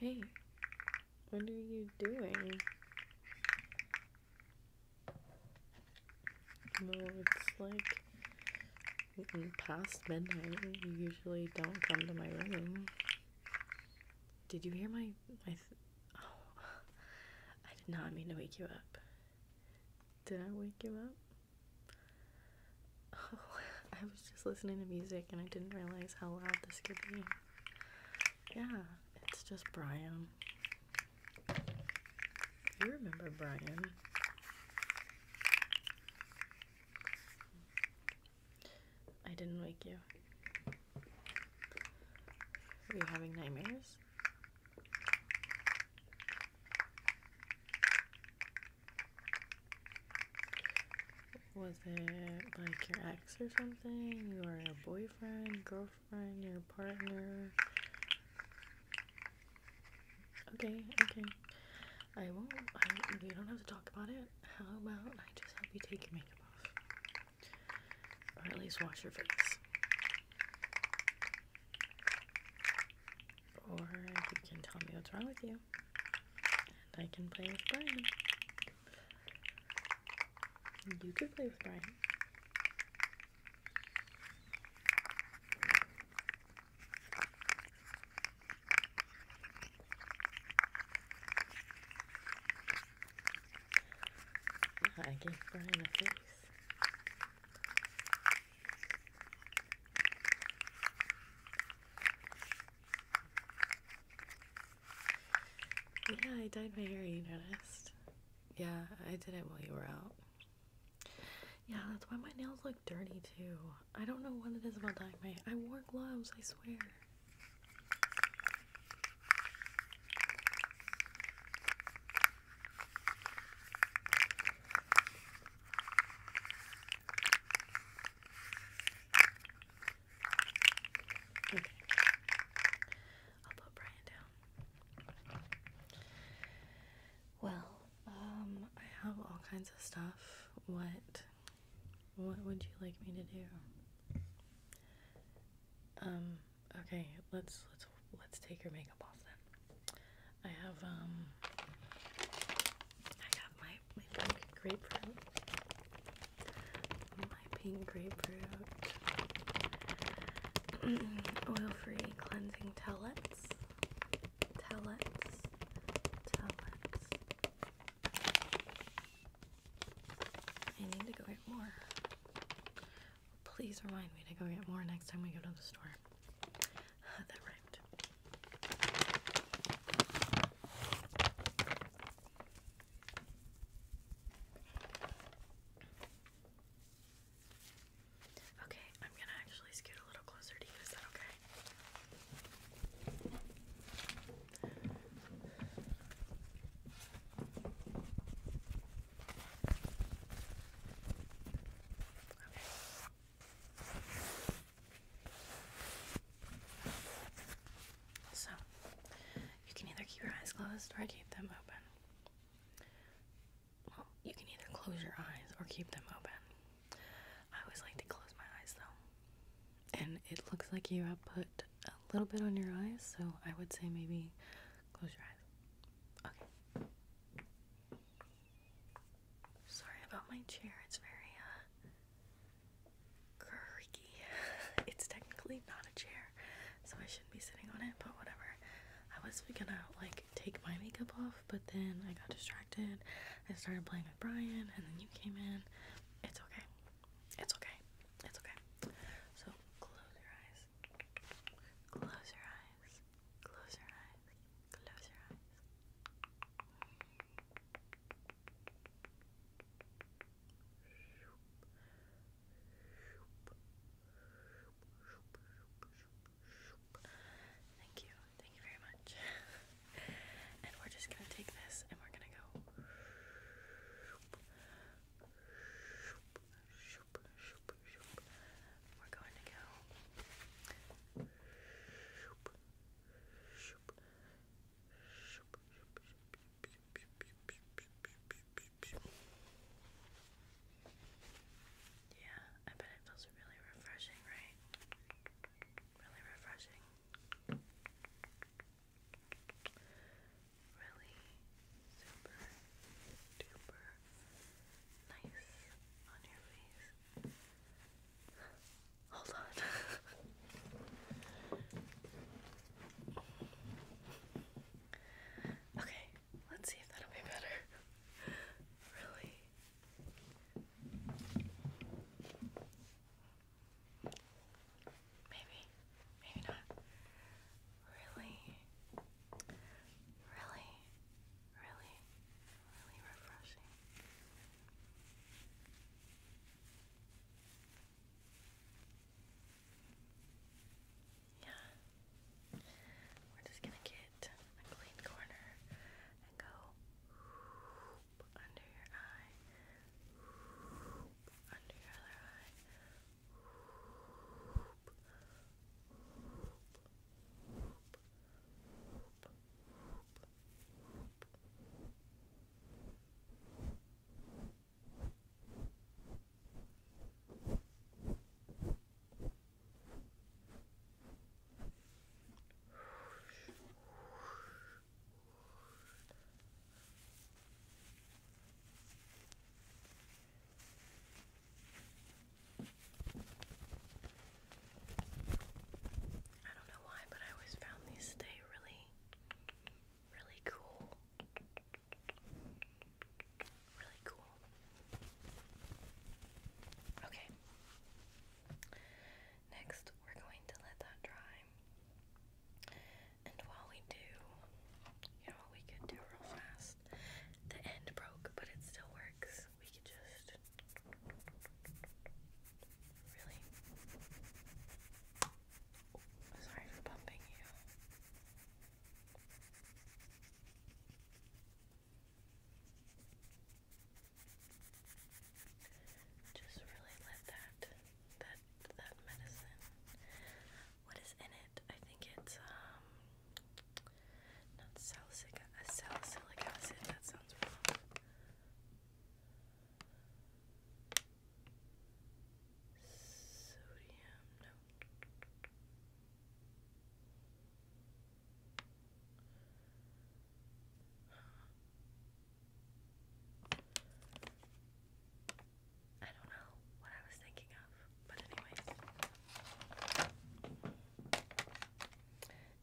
Hey, what are you doing? No, like past midnight. You usually don't come to my room. Did you hear my my? Oh, I did not mean to wake you up. Did I wake you up? Oh, I was just listening to music and I didn't realize how loud this could be. Yeah, it's just Brian. You remember Brian? I didn't wake you. Are you having nightmares? Was it like your ex or something? Your boyfriend, girlfriend, your partner? Okay, okay. I won't. I, you don't have to talk about it. How about I just help you take your makeup off? Or at least wash your face. Or you can tell me what's wrong with you. And I can play with Brian. You could play with Brian. I gave Brian a face. Yeah, I dyed my hair, you noticed. Yeah, I did it while you were out. Yeah, that's why my nails look dirty too. I don't know what it is about dyeing my I wore gloves, I swear. Okay. I'll put Brian down. Well, um, I have all kinds of stuff. What what would you like me to do? Um, okay, let's let's let's take your makeup off then. I have um I have my, my pink grapefruit. My pink grapefruit oil-free cleansing towelettes. Tellets. Tellets. I need to go get more. Please remind me to go get more next time we go to the store. that rhymed. Okay, I'm gonna actually scoot a little closer to you. Is that okay? So you can either keep your eyes closed or keep them open. Well, you can either close your eyes or keep them open. I always like to close my eyes though. And it looks like you have put a little bit on your eyes, so I would say maybe close your eyes. Okay. Sorry about my chair. It's very uh creaky. it's technically not a chair, so I shouldn't be sitting on it, but whatever. I was gonna like take my makeup off, but then I got distracted. I started playing with Brian, and then you came in. It's okay. It's okay. It's okay. So close your eyes. Close your eyes. Close your eyes. Close your eyes. Thank you. Thank you very much. and we're just gonna take this and we're gonna go. We're going to go. Yeah. I bet it feels really refreshing, right? Really refreshing. Really super duper nice on your face. Hold on. okay, let's see if that'll be better. really Maybe, maybe not. Really, really, really, really refreshing. Yeah. We're just gonna get it in a clean corner and go under your eye, under your other eye. I don't know why, but I always found these stay really, really cool really cool. Okay. Next, we're going to let that dry. And while we do, you know what we could do real fast? The end broke, but it still works. We could just really. sorry for bumping you. Just really let that that that medicine. What is in it? I think it's um not salicylic uh, acid. That sounds wrong. Sodium, I don't know what I was thinking of, but anyways.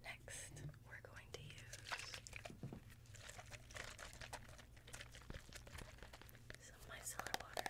Next, we're going to use some micellar water.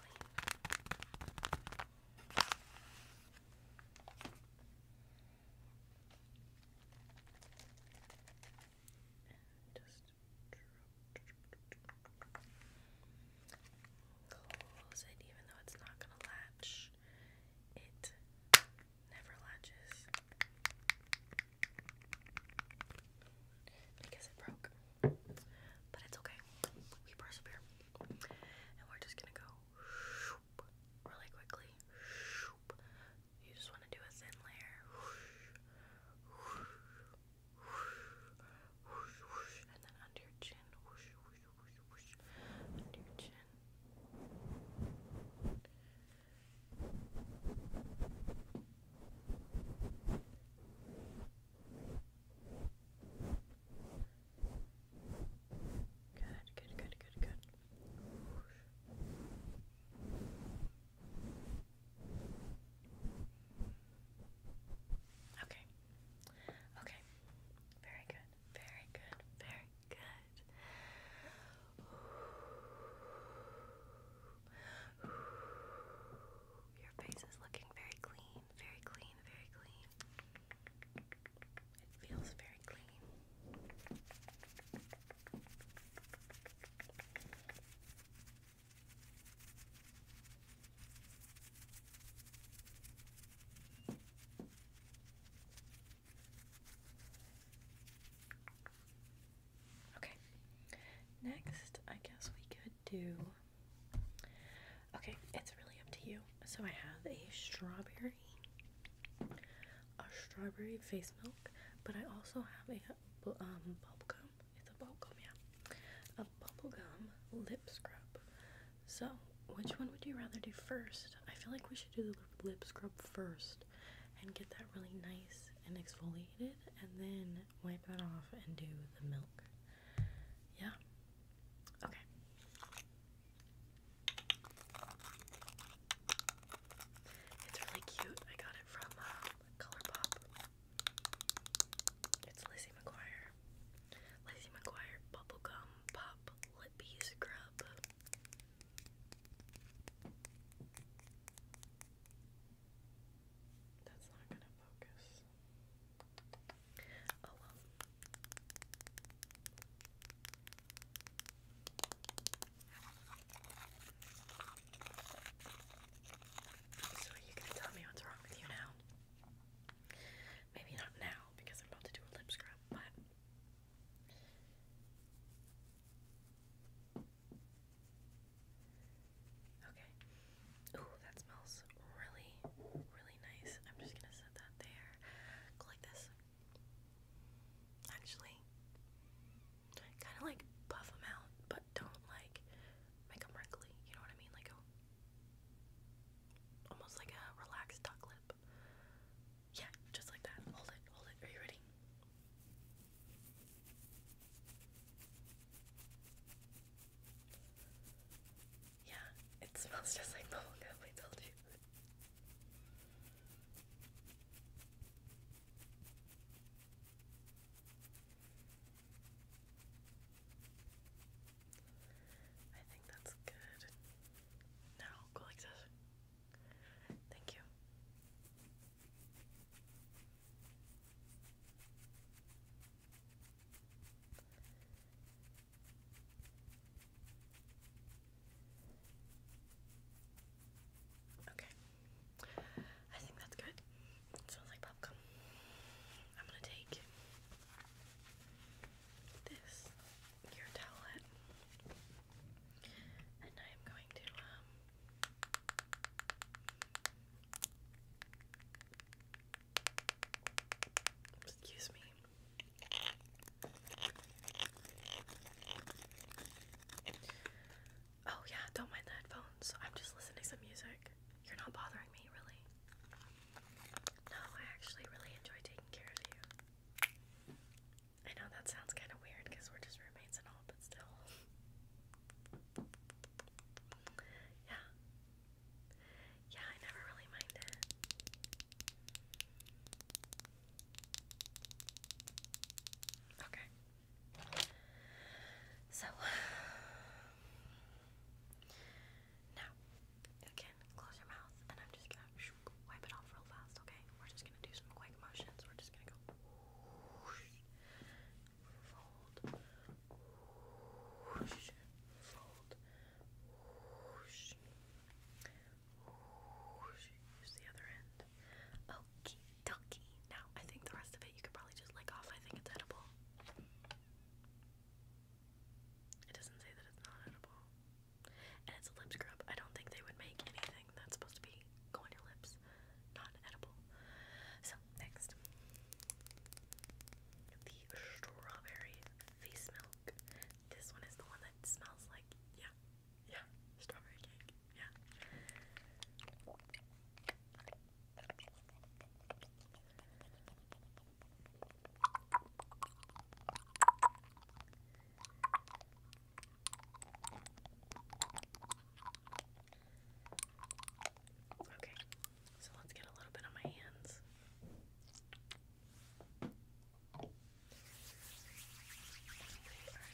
basically. And just close it, even though it's not going to latch. It never latches. I guess it broke. But it's okay. We persevere. And we're just gonna go really quickly. You just wanna do a thin layer. And then Under your chin. Under your chin. Good, good, good, good, good. Okay. Okay. Very good. Very good. Very good. Your face is looking very clean, very clean, very clean. It feels very clean. Okay. Next, I guess we could do. Okay, it's really up to you. So I have a strawberry, a strawberry face milk, but I also have a um gum. It's a bubblegum, yeah. A bubblegum lip scrub. So which one would you rather do first? I feel like we should do the lip scrub first and get that really nice and exfoliated and then wipe that off and do the milk. Yeah? Okay. It's really cute. I got it from uh, ColourPop. It's Lizzie McGuire. Lizzie McGuire Bubblegum Pop Lippy Scrub. That's not gonna focus. Oh, so are you gonna tell me what's wrong with you now? Maybe not now because I'm about to do a lip scrub, but Okay. Ooh, that smells really, really nice. I'm just gonna set that there. Go like this. Actually, kind of like puff them out, but don't like make them wrinkly. You know what I mean? Like almost like a relaxed duck lip. Yeah, just like that. Hold it, hold it. Are you ready? Yeah, it smells just like bubblegum, I told you. I think that's good. Now go like this. Thank you. Okay. I think that's good. sounds like popcorn. I'm gonna take this gear towelette and I am going to um, Excuse me. Oh, yeah, don't mind the headphones. I'm just listening to some music. You're not bothering me, really. No, I actually really enjoy taking care of you. I know that sounds kind of weird because we're just roommates and all, but still. Yeah. Yeah, I never really mind it. Okay. So now again, close your mouth and I'm just gonna wipe it off real fast, okay? We're just gonna do some quick motions. We're just gonna go fold, whoosh, fold, whoosh, whoosh. Here's the other end. Okie dokie. Now, I think the rest of it you could probably just lick off. I think it's edible. It doesn't say that it's not edible. And it's a lip scrub. I don't think they would make anything that's supposed to be go on your lips non-edible. So next, the strawberry face milk. This one is the one that smells like yeah, yeah, strawberry cake. Yeah. Okay, so let's get a little bit on my hands. we are just going to rub that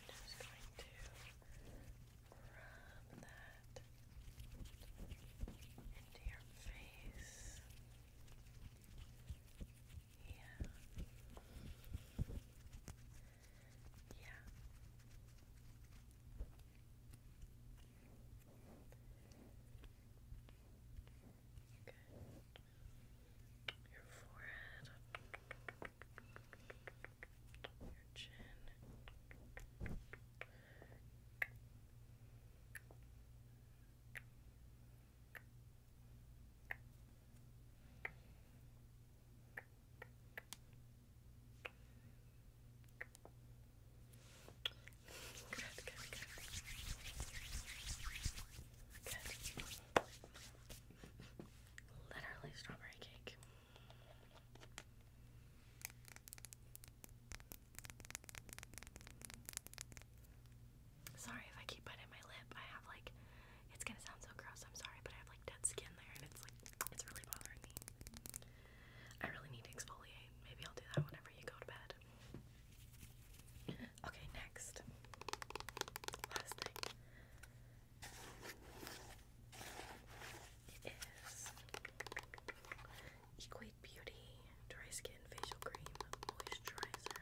into your face. Yeah. Yeah. Good. Your forehead, your chin, Literally strawberry cake. Sorry if I keep biting my lip. I have like, it's gonna sound so gross. I'm sorry, but I have like dead skin there, and it's like it's really bothering me. I really need to exfoliate. Maybe I'll do that whenever you go to bed. Okay, next. Last thing. It is Equate Beauty Dry Skin Facial Cream Moisturizer.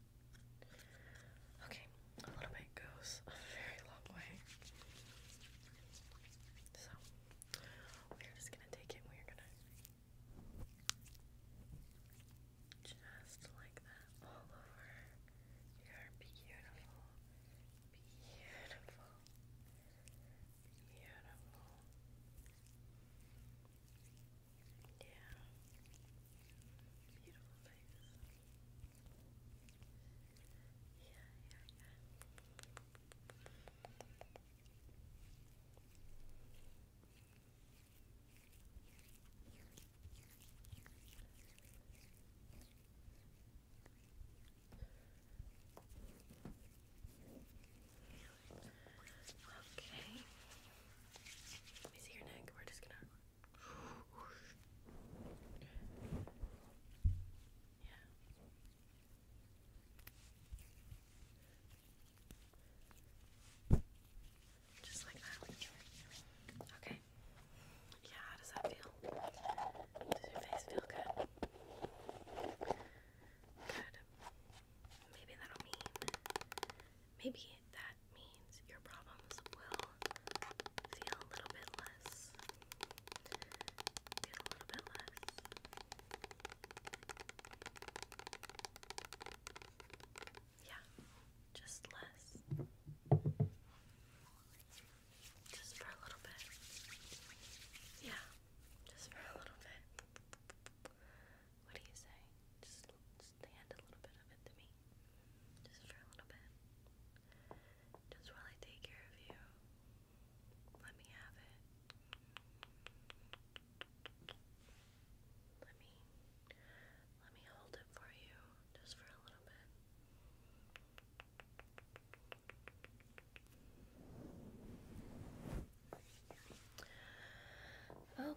Okay, a little bit goes a very long way. So, we're just gonna take it we're gonna just like that all over. You are beautiful, beautiful, beautiful. Yeah. Beautiful face. Okay. Let me see your neck. We're just gonna just like that. Okay. Yeah, how does that feel? Does your face feel good? Good. Maybe that'll mean. Maybe that means your problems will feel a little bit less. Yeah, just less. Just for a little bit. Yeah, just for a little bit. What do you say? Just stand a little bit of it to me. Just for a little bit. Just while I take care of you. Let me have it. Let me let me hold it for you just for a little bit.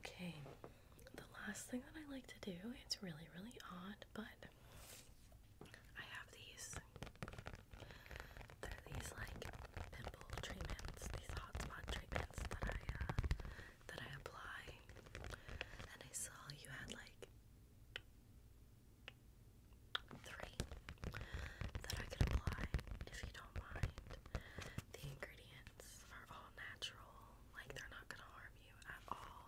Okay, the last thing that I like to do, it's really, really odd, but I have these. they these like pimple treatments, these hot spot treatments that I uh, that I apply. And I saw you had like three that I could apply if you don't mind. The ingredient plants are all natural, like they're not gonna harm you at all.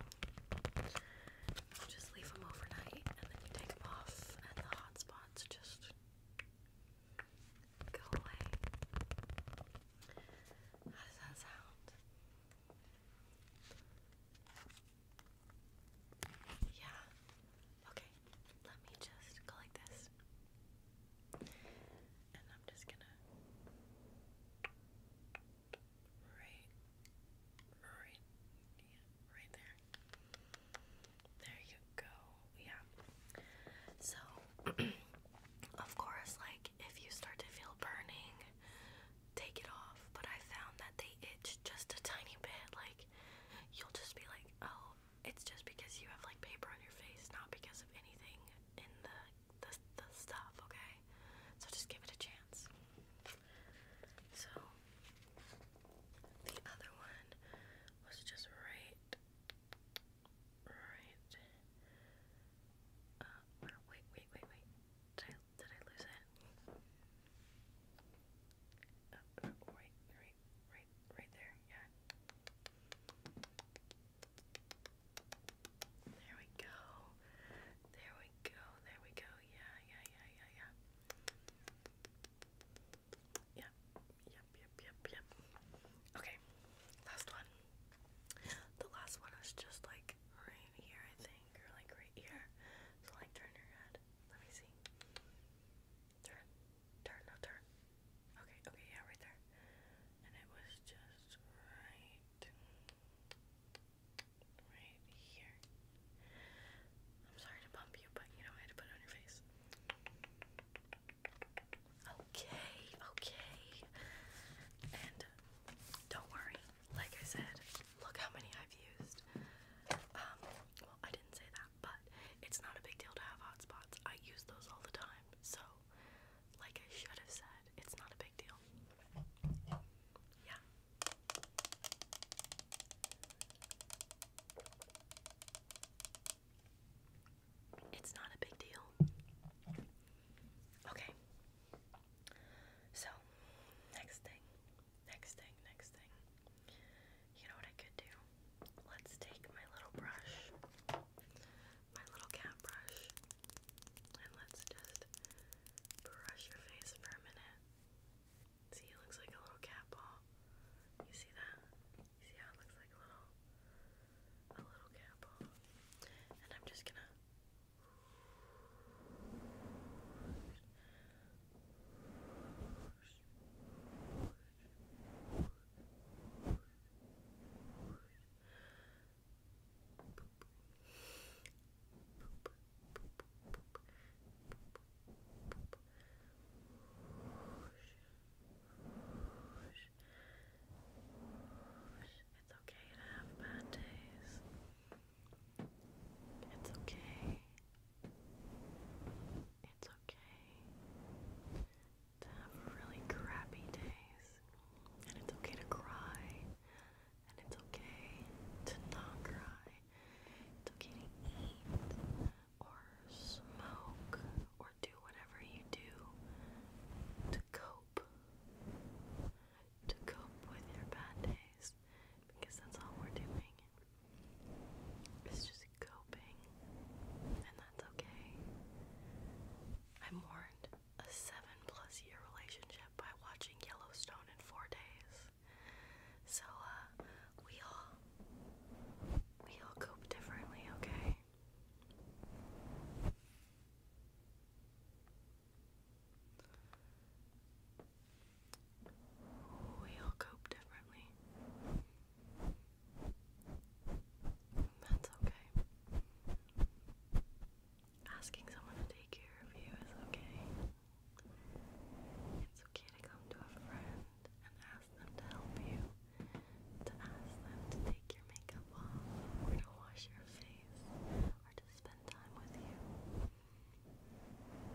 You just leave them overnight and then you take them off, and the hot spots just go away. How does that sound? Yeah. Okay. Let me just go like this. And I'm just gonna right right right there. There you go. Yeah. So of course like if you start to feel burning, take it off. But I found that they itch just a tiny bit, like you'll just be like, oh, it's just because you have like paper on your face, not because of anything in the the, the stuff, okay? So just give it a chance. So, the other one was just right, right, uh, wait, wait, wait, wait, did I, lose it? right, uh, right, right, right there, yeah. There we go. There we go. There we go. Yeah, yeah, yeah, yeah, yeah. Yep, yep, yep, yep, yep. Okay, last one. The last one is just like right here, I think, or like right here. So like turn your head. Let me see. Turn. Turn, no turn. Okay, okay, yeah, right there. And it was just right, right here. I'm sorry to bump you, but you know I had to put it on your face. Okay, okay. And uh, don't worry, like I said, look how many I've used. Um, well, I didn't say that, but it's not a big deal to have hot spots. I use those all the time, so like I should have said, it's not a big deal. Yeah. It's not a big deal. Okay. So, next thing, next thing, next thing. You know what I could do? Let's take my little brush my little cat brush and let's just brush your face for a minute. See, it looks like a little cat ball. You see that? You see how it looks like a little a little cat ball. And I'm just gonna it's okay to have bad days. It's okay. It's okay to have really crappy days. And it's okay to cry. And it's okay to not cry. It's okay to eat or smoke or do whatever you do to cope. To cope with your bad days. Because that's all we're doing. It's just coping. And that's okay. I mourned a seven plus year relationship by watching Yellowstone in four days. So, uh, we all, we all cope differently, okay? We all cope differently. That's okay. Asking someone to take care of you is okay. It's okay to come to a friend and ask them to help you, to ask them to take your makeup off, or to wash your face, or to spend time with you.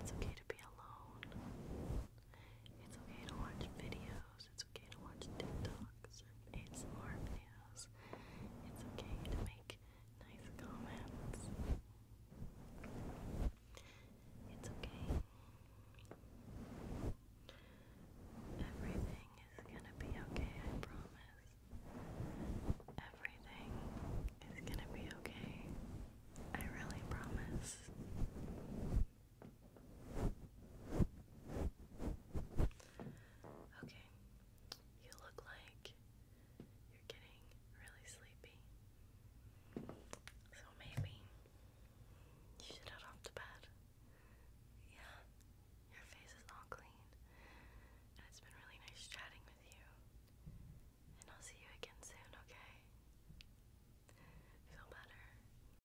It's okay to be alone. It's okay to watch videos. It's okay to watch TikToks It's okay to make nice comments. It's okay. Everything is gonna be okay, I promise. Everything is gonna be okay. I really promise. Okay, you look like you're getting really sleepy. So maybe you should head off to bed. Yeah, your face is all clean. And it's been really nice chatting with you. And I'll see you again soon, okay? Feel better.